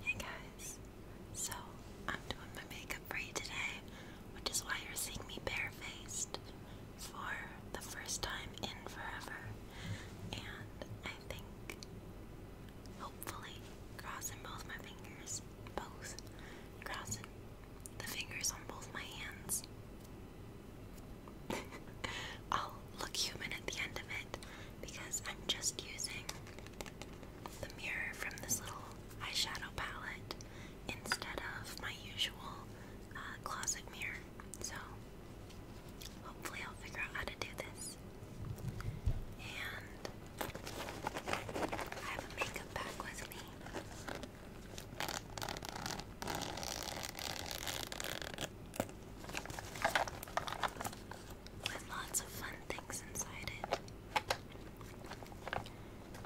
Hey guys, so I'm doing my makeup for you today, which is why you're seeing me barefaced for the first time in forever. And I think, hopefully, crossing both my fingers, both, crossing the fingers on both my hands. I'll look human at the end of it because I'm just using the mirror from this little eyeshadow palette instead of my usual uh, closet mirror. So, hopefully, I'll figure out how to do this. And I have a makeup bag with me with lots of fun things inside it.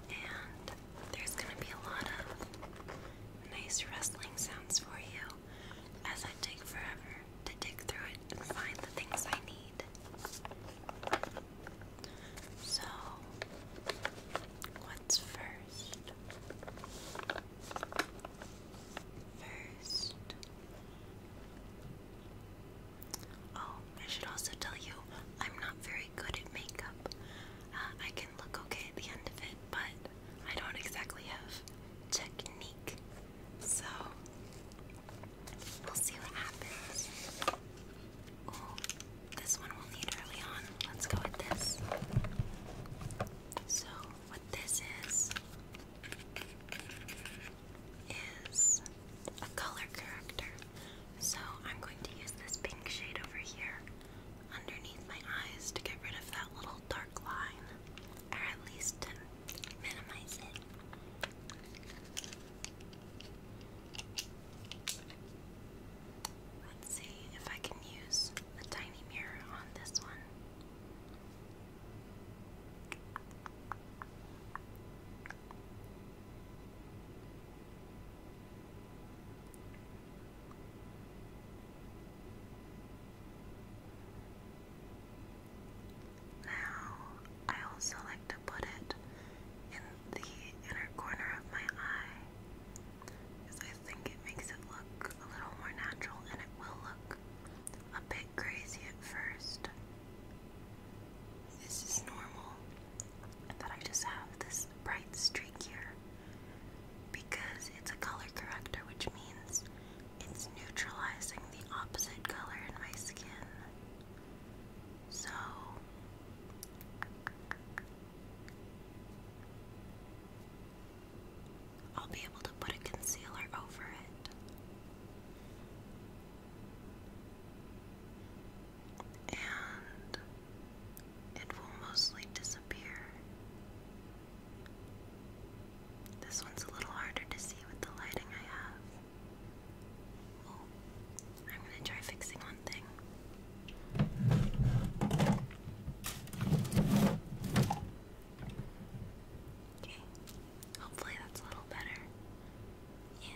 And there's going to be a lot of nice rustling sounds for you as I take forever to dig through it and find the things I need. So, what's first? First, Oh, I should also tell you, I'm not very good at makeup. Uh, I can look okay at the end of it, but I don't exactly have technique. So, we'll see what happens. Oh, this one we'll need early on. Let's go with this. So, what this is is a color corrector. So I'm going to use this pink shade over here underneath my eyes to get rid of that little dark line, or at least minimize it. Let's see if I can use the tiny mirror on this one. Now, I also like to put it in the inner corner of my eye because I think it makes it look a little more natural and it will look a bit crazy at first. This is normal, but I just have this bright streak here because it's a color corrector, which means it's neutralizing the opposite color in my skin. So, I'll be able to put a concealer over it and it will mostly disappear. This one's a little harder to see with the lighting I have. Oh, I'm going to try fixing one thing. Okay. Hopefully that's a little better. Yeah.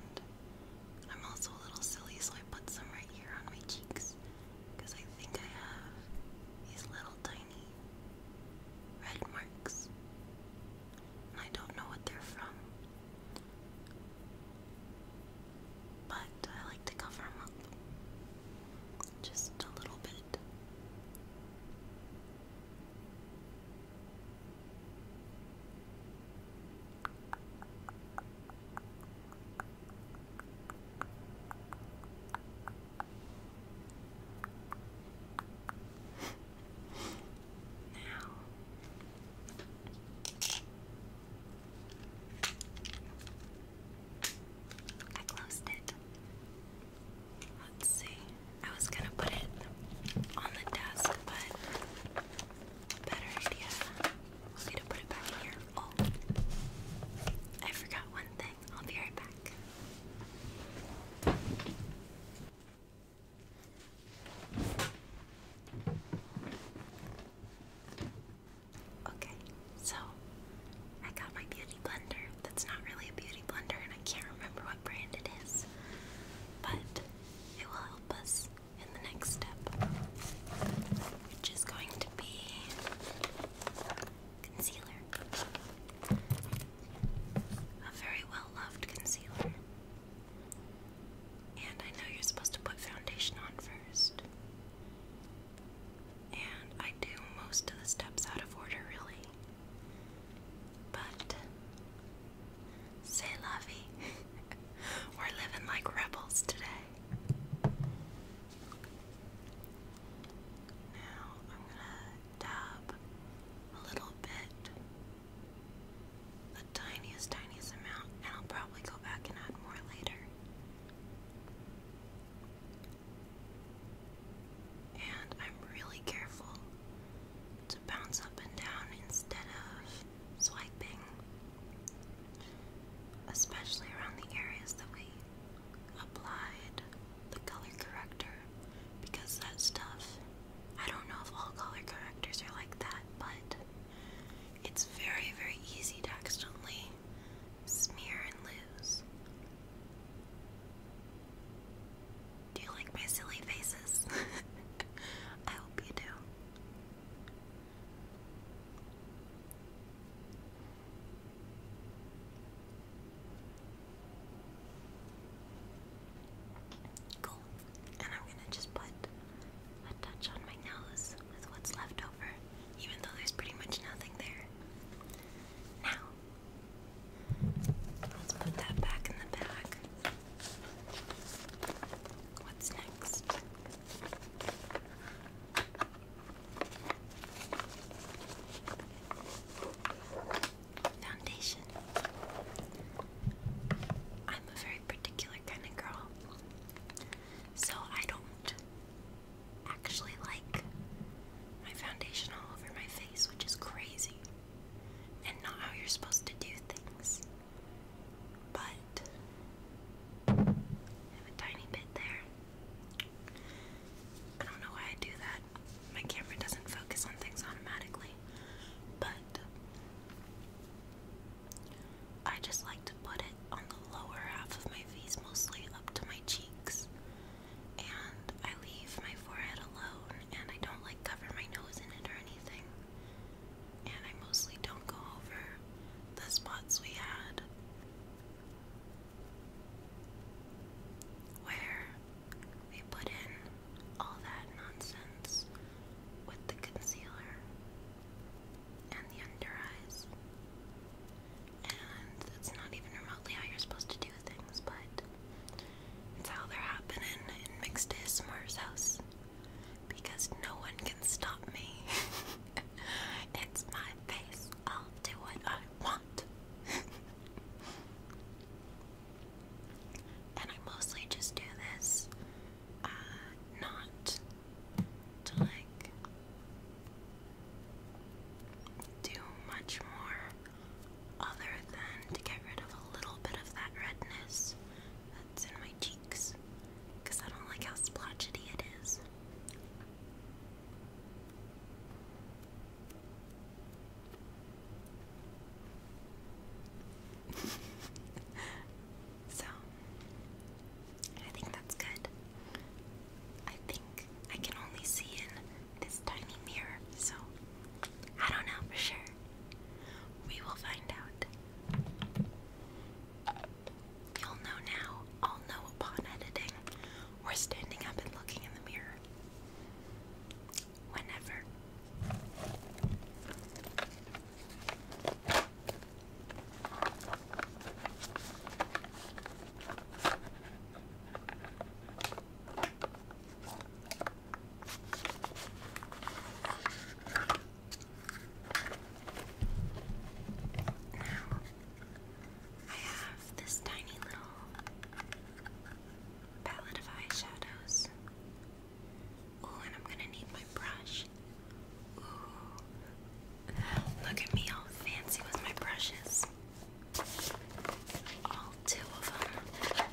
And I'm also a little silly, so I put some right here on my cheeks I think I have these little tiny red marks. And I don't know what they're from. But I like to cover them up just a little bit now I closed it. Let's see. I was gonna put it on the desk, but better idea will be to put it back here. Oh, I forgot one thing. I'll be right back. Okay, so I got my beauty blender. That's not really a beauty blender, and I can't remember what brand it is, but it will help us in the next step, which is going to be concealer. A very well loved concealer. And I know you're supposed to put foundation on first. And I do most of the steps out of order, really. But Say, la We're living like rebels today. Now I'm gonna dab a little bit, the tiniest, tiniest amount, and I'll probably go back and add more later. And I'm really careful to bounce up and down instead of swiping, especially around the areas that we applied the color corrector because that stuff, I don't know if all color correctors are like that, but it's very, very easy to accidentally smear and lose. Do you like my silly faces? I hope you do. And I'm gonna just put a touch on my nose with what's left over, even though there's pretty much nothing there. Now, let's put that back in the bag what's next? Foundation. I'm a very particular kind of girl, so I don't actually like my foundation all over my face, which is crazy and not how you're supposed to do things but I have a tiny bit there. I don't know why I do that. My camera doesn't focus on things automatically, but I just like to put it on the lower half of my face, mostly up to my cheeks. And I leave my forehead alone, and I don't like cover my nose in it or anything and I mostly don't go over the spots we had where we put in all that nonsense with the concealer and the under eyes. And that's not even remotely how you're supposed to do things, but it's how they're happening in Mixed ASMR's house because no one can stop me. it's my face. I'll do what I want. and I mostly just do this uh, not to like do much more other than to get rid of a little bit of that redness that's in my cheek because I don't like how splotchy it is. so, I think that's good. I think I can only see in this tiny mirror, so I don't know for sure. We will find out. You'll know now, I'll know upon editing, or standing up and looking in the mirror. Whenever. Now, I have this tiny little palette of eyeshadows. Oh, and I'm gonna need my brush. Ooh. Look at me all fancy with my brushes. All two of them.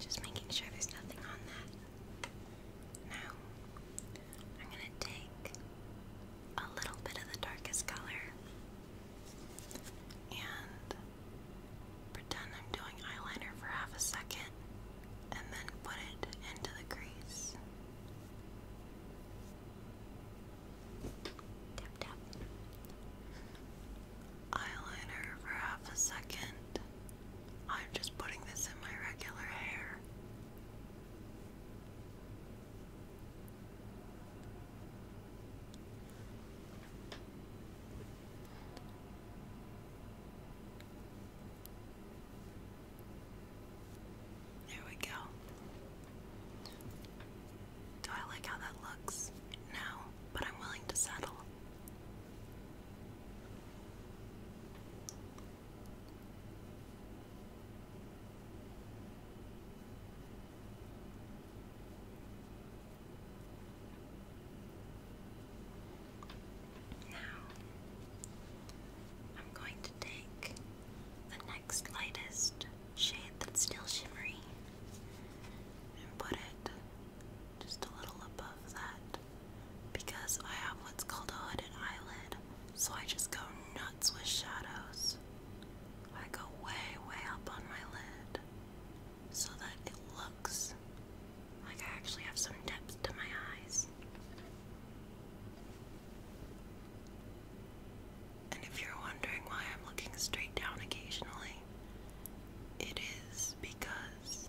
Just making sure there's nothing on that. Now, I'm going to take a little bit of the darkest color and pretend I'm doing eyeliner for half a second and then put it into the crease. Tap tap. Eyeliner for half a second. I'm just putting this in my regular hair. There we go. Do I like how that looks? No, but I'm willing to settle. Now, I'm going to take the next lightest shade that's still shimmery and put it just a little above that because I have what's called a hooded eyelid, so I just go nuts with shadows. I go way, way up on my lid so that it looks like I actually have some depth to my eyes. And if you're wondering why I'm looking straight down occasionally, it is because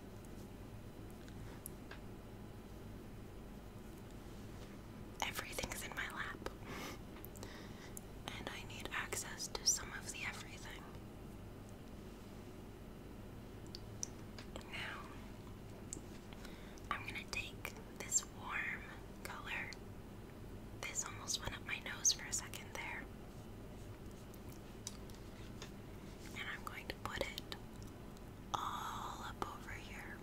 everything's in my lap. and I need access to some of the everything. Now, I'm gonna take this warm color. This almost went up my nose for a second there. And I'm going to put it all up over here.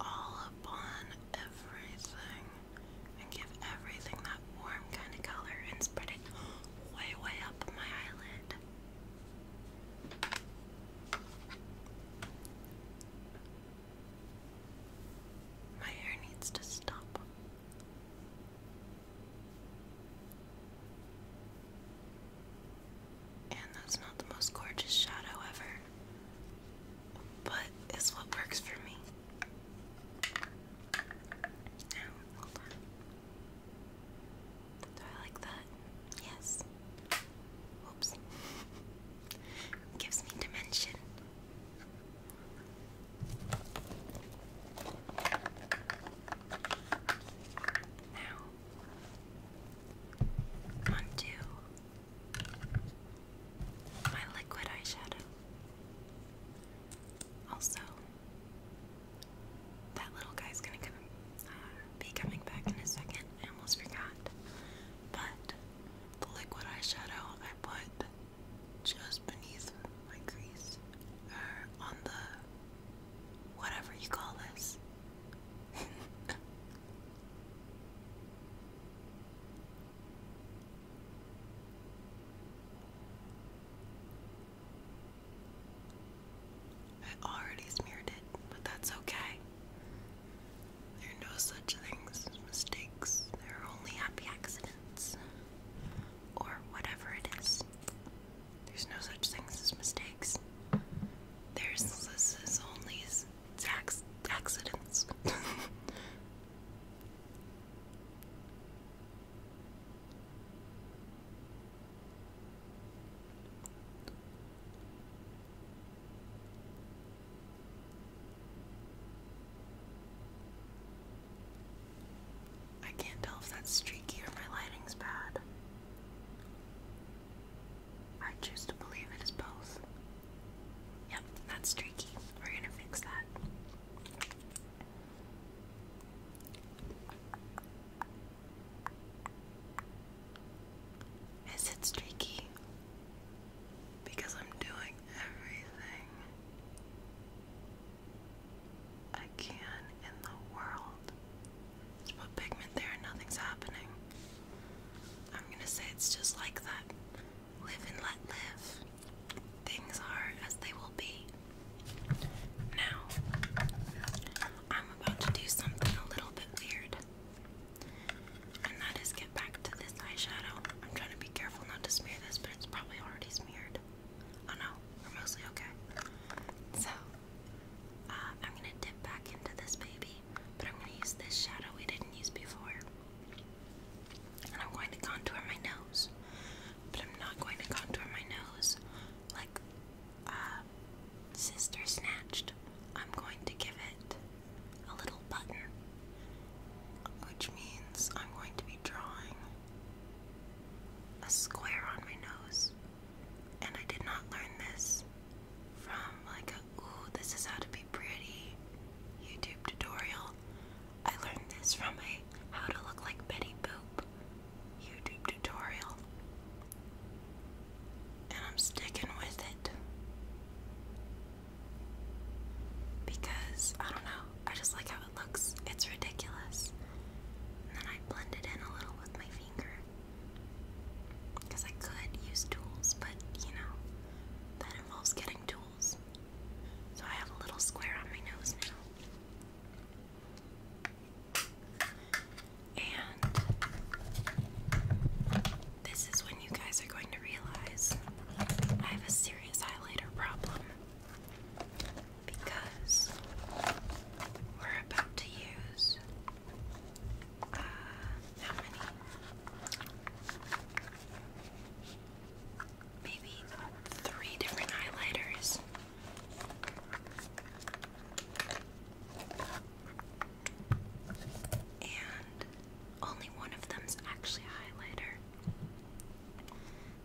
All upon everything and give everything that warm kind of color and spreading way, way up my eyelid. My hair needs to stop. And that's not the most gorgeous shadow ever, but it's what works for me. Oh, Do I like that? Yes. Oops. Gives me dimension. Now, onto my liquid eyeshadow. Also, that little guy's gonna uh, be coming back in a second. I almost forgot. But the liquid eyeshadow I put just beneath my crease, or on the whatever you call this. I already smeared it, but that's okay. There are no such things as mistakes. There are only happy accidents. Or whatever it is. There's no such things as mistakes. There's this is only tax accidents. I can't tell if that's streaky or my lighting's bad. I choose to believe it is both. Yep, that's streaky. We're gonna fix that. Is it streaky? Because I'm doing everything I can in the world. Just put pigment there and nothing's happening. I'm gonna say it's just like that. Live and let live. Things are as they will be. Now, I'm about to do something a little bit weird. And that is get back to this eyeshadow. I'm trying to be careful not to smear this, but it's probably already smeared. Oh no, we're mostly okay. So, uh, I'm gonna dip back into this baby, but I'm gonna use this shadow we didn't use before. And I'm going to contour my nose, but I'm not going to contour my nose like uh, sister snatched, I'm going to give it a little button, which means I'm going to be drawing a square on my nose. And I did not learn this from like a ooh, this is how to be pretty YouTube tutorial. I learned this from a how to look like Betty Boop YouTube tutorial. And I'm sticking with it. Because, I don't know, I just like how it looks. It's ridiculous. then I blend in a little with my finger. Because I could use tools, but you know, that involves getting tools. So I have a little square on my nose now. And this is when you guys are going to realize I have a serious highlighter problem because we're about to use uh, Maybe three different highlighters. And only one of them's actually highlighter.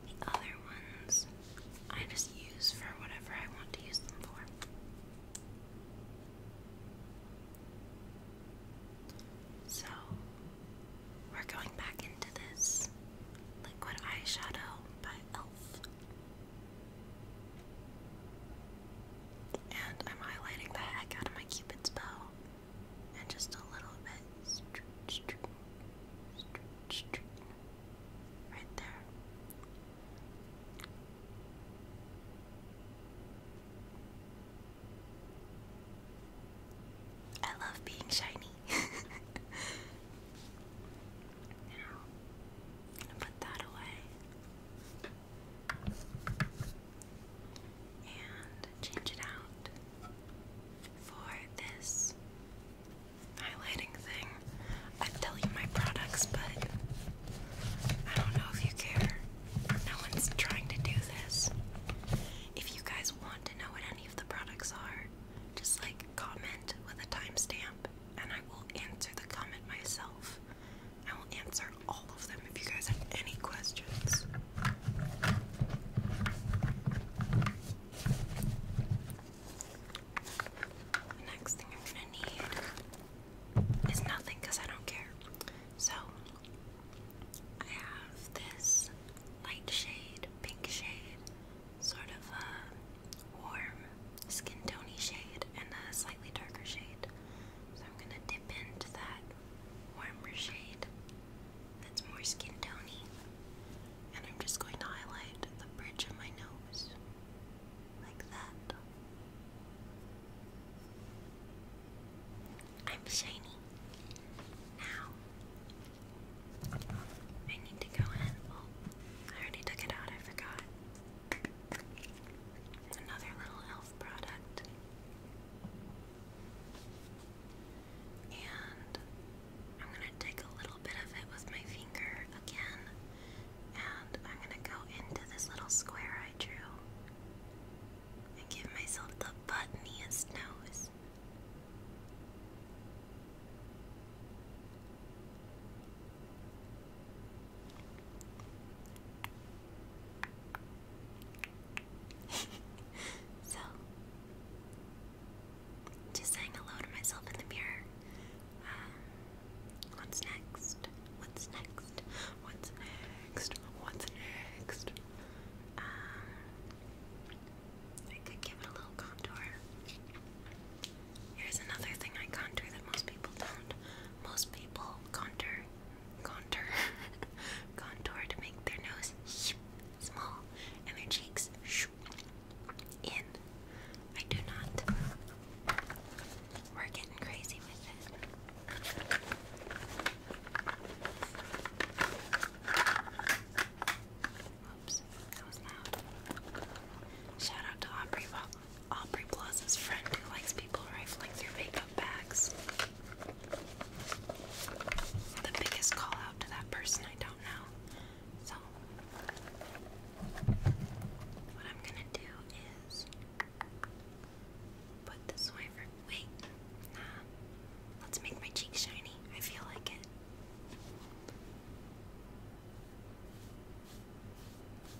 The other ones I just use for whatever I want to use them for. So, we're going back into this liquid eyeshadow by Elf. And I'm highlighting the heck out of my Cupid's bow. And just a little bit. Right there. I love being shiny. I'm gonna put that away and change it out for this highlighting thing. i tell you my products, but I don't know if you care. No one's trying to do this. If you guys want to know what any of the products are, just like comment with a timestamp, and I will answer the comment myself. I will answer all of them if you guys have any questions. The next thing I'm gonna need is nothing because I don't care. So I have this light shade, pink shade, sort of a uh, warm skin tony shade and a slightly darker shade. So I'm gonna dip into that warmer shade that's more skin tony. And I'm just going to highlight the bridge of my nose. Like that. I'm shiny. Now I need to go in. Oh, I already took it out, I forgot. Another little elf product. And I'm gonna take a little bit of it with my finger again. And I'm gonna go into this little square I drew and give myself the buttonest nose. so, just saying hello to myself in the mirror. Um, what's next? What's next? What's next? What's next? Um, I could give it a little contour. Here's another thing I contour that most people don't. Most people contour, contour, contour to make their nose small and their cheeks in. I do not. We're getting crazy with it. Oops. Shout out to Aubrey, Aubrey Plaza's friend who likes people rifling through makeup bags. The biggest call out to that person I don't know. So, what I'm gonna do is put this Wait, Let's make my cheek shiny. I feel like it.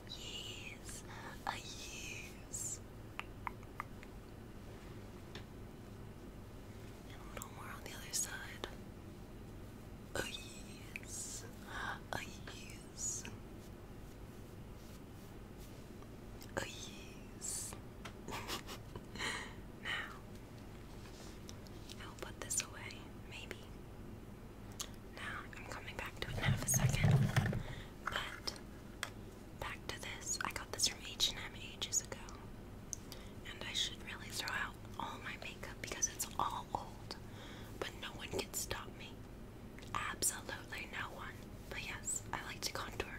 Yes, I use. And a little more on the other side. Oh yes, oh yes, oh yes. now I'll put this away, maybe. Now I'm coming back to it in half a second. But back to this. I got this from H&M ages ago. And I should really throw out all my makeup because it's all old. But no one can stop me. Absolutely no one. But yes, I like to contour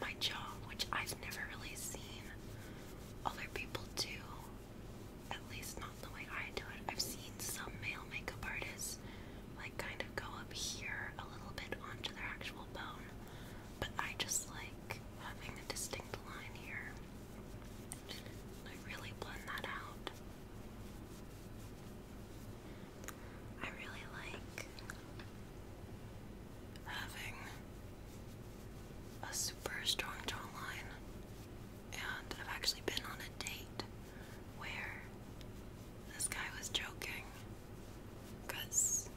my jaw, which I've never really seen other people do at least not the way I do it. I've seen some male makeup artists like kind of go up here a little bit onto their actual bone, but I just like having a distinct line here. I really blend that out. I really like having a super strong jawline, and I've actually been on a date where this guy was joking because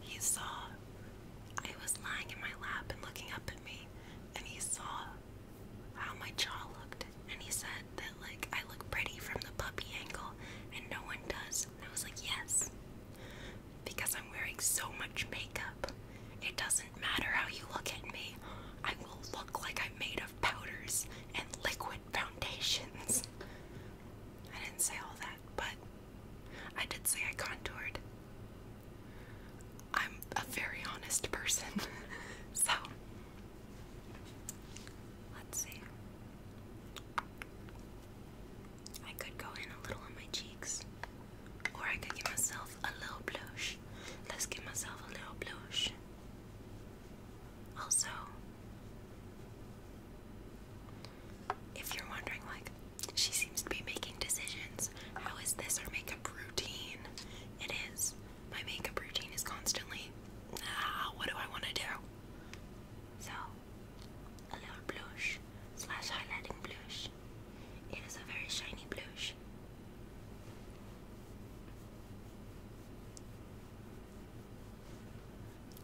he saw I was lying in my lap and looking up at me, and he saw how my jaw looked, and he said that, like, I look pretty from the puppy angle, and no one does. And I was like, yes because I'm wearing so much makeup. It doesn't matter how you look at me, I will look like I'm made of powders and liquid foundations. I didn't say all that, but I did say I contoured. I'm a very honest person, so let's see. I could go in a little on my cheeks, or I could give myself a little blush. Let's give myself a little blush. Also, if you're wondering, like, she seems to be making decisions, how is this her makeup routine? It is. My makeup routine is constantly, ah, what do I want to do? So, a little blush slash highlighting blush. It is a very shiny blush.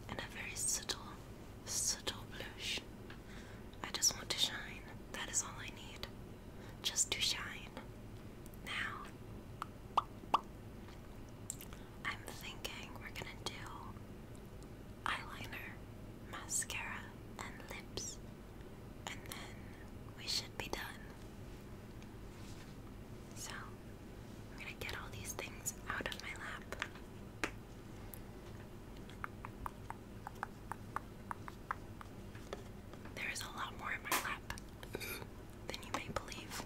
And a very subtle, subtle blush. I just want to shine. That is all I need. Just to shine. Now, I'm thinking we're gonna do eyeliner, mascara, and lips, and then we should be done. So, I'm gonna get all these things out of my lap. There is a lot more in my lap than you may believe.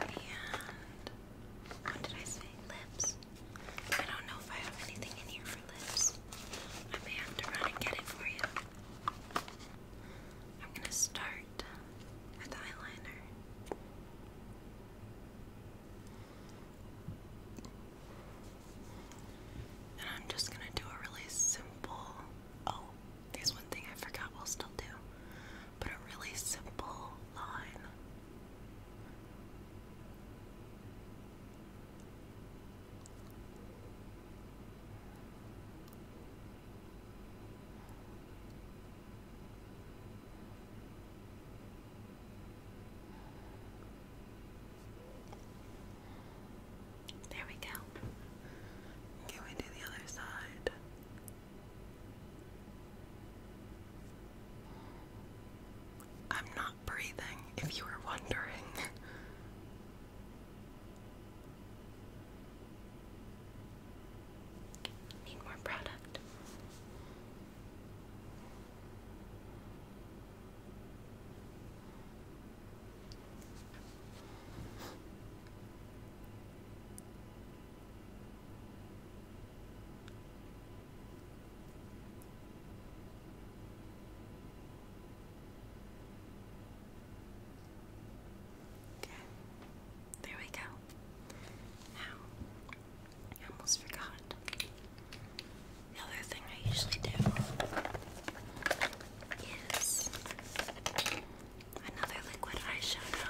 And what did I say? Lips. I don't know if I have anything in here for lips. I may have to run and get it for you. I'm gonna start with eyeliner. And I'm just gonna do a really simple. Oh, there's one thing I forgot we'll still do but a really simple line. There we go. Can we do the other side? I'm not breathing, if you were wondering. Need more product. Okay, there we go. Now, I almost forgot. The other thing I usually do is another liquid eyeshadow.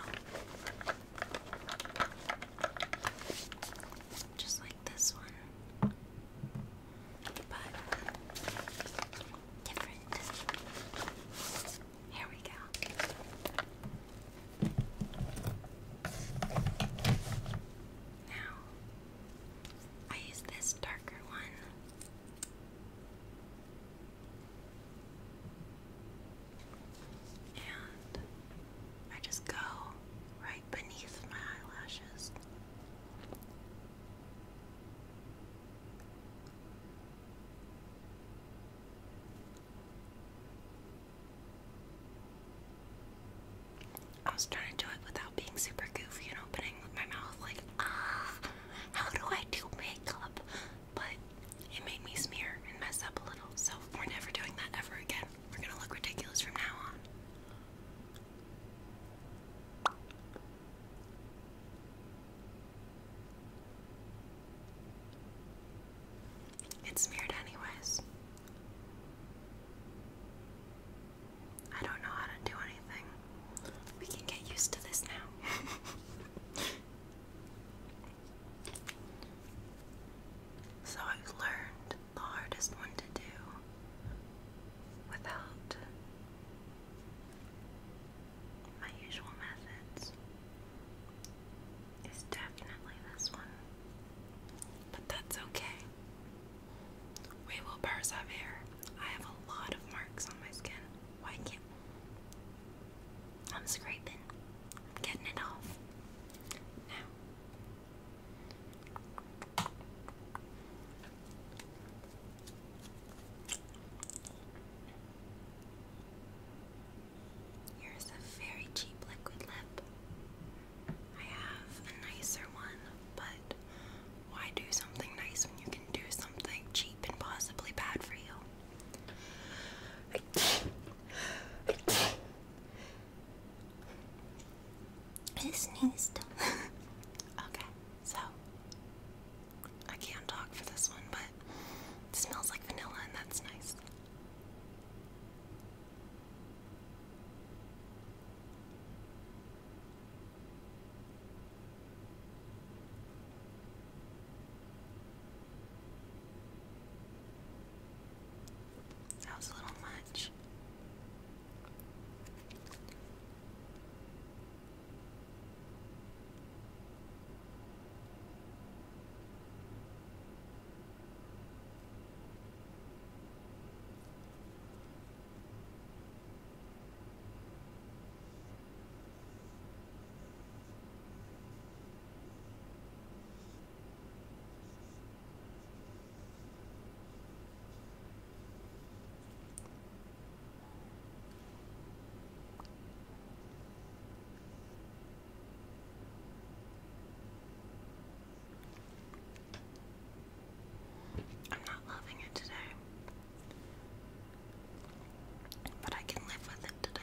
Just like this one. But different. Here we go. Now I use this darker one and I just go right beneath my eyelashes. I was trying to do it without being super goofy and opening my mouth like, ah, how do I do makeup? but it made me smear and mess up a little, so we're never doing that ever again. We're gonna look ridiculous from now on. It's smeared anyways. I don't know how to do anything. We can get used to this now. So I've learned the hardest one to do without my usual methods is definitely this one. But that's okay. We will persevere. I have a lot of marks on my skin. Why can't I'm scraping. I'm getting it off. Now. Here's a very cheap liquid lip. I have a nicer one, but why do something nice when you can do something cheap and possibly bad for you? I sneezed. okay, so I can't talk for this one, but smells like vanilla, and that's nice. That was a little much. I'm not loving it today. But I can live with it today.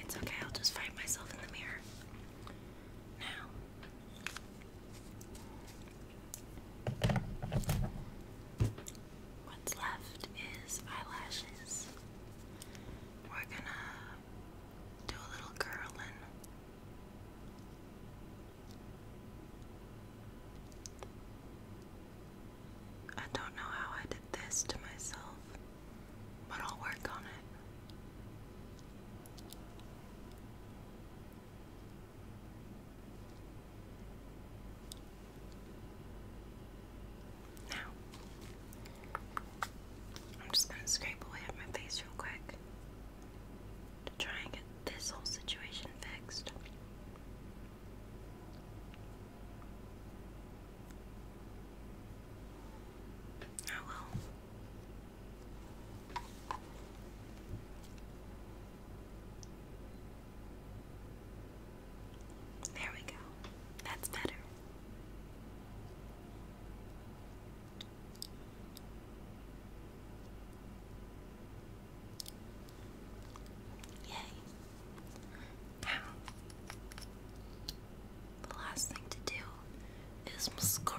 It's okay, I'll just find myself in the mirror. Now, What's left is eyelashes. We're gonna do a little curling. I don't know how I did this to myself, but I'll work on it. Now, I'm just going to scrape away at my face real quick to try and get this whole situation fixed. I oh, will. There we go. That's better. Yay. Now, the last thing to do is mascara.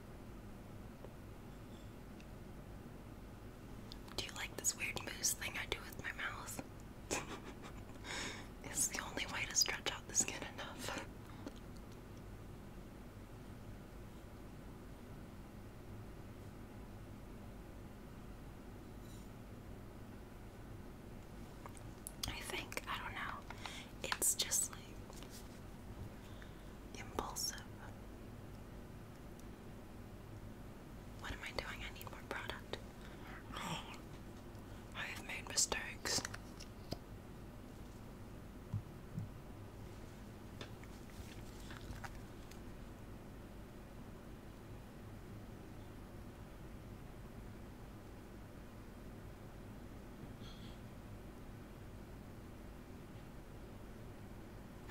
Do you like this weird moose thing I do with my mouth? it's the only way to stretch out the skin enough. I think, I don't know. It's just like impulsive. What am I doing? I need more product. I have made mistakes.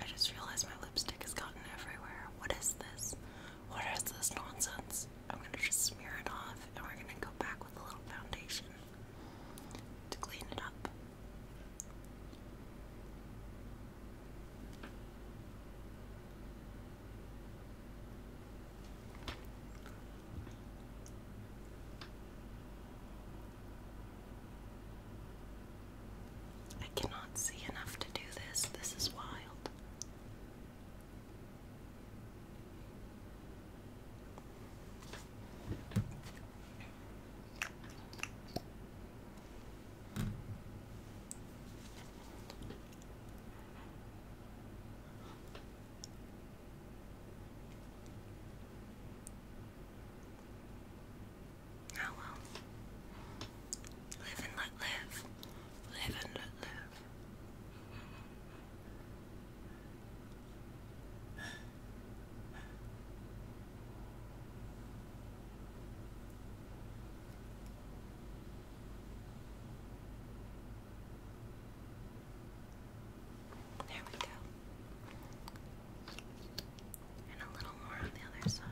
I just realized my lipstick has gotten everywhere. What is this? What is this nonsense? I'm gonna just smear it off and we're gonna go back with a little foundation to clean it up. I cannot see enough to do this. This is wild. Oh well. Live and let live. Live and let live. There we go. And a little more on the other side.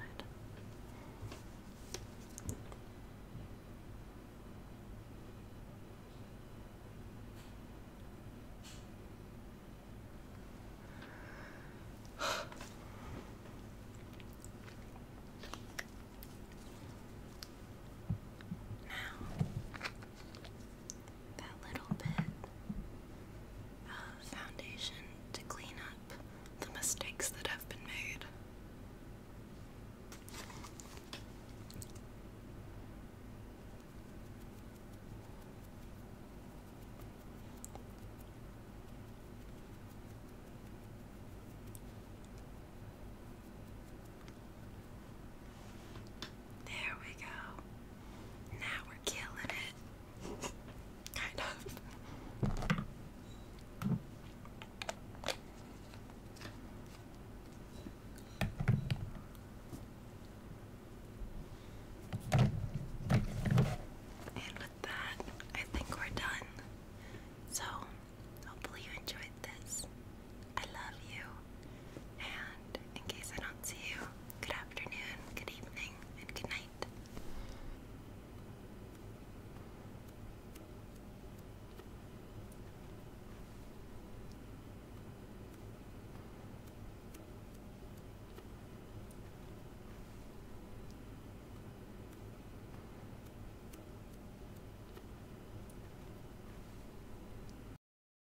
Now, that little bit of foundation to clean up the mistakes that have been made. There we go. Now we're killing it. Kind of. And with that, I think we're done. So, hopefully, you enjoyed this. I love you. And in case I don't see you, good afternoon, good evening, and good night.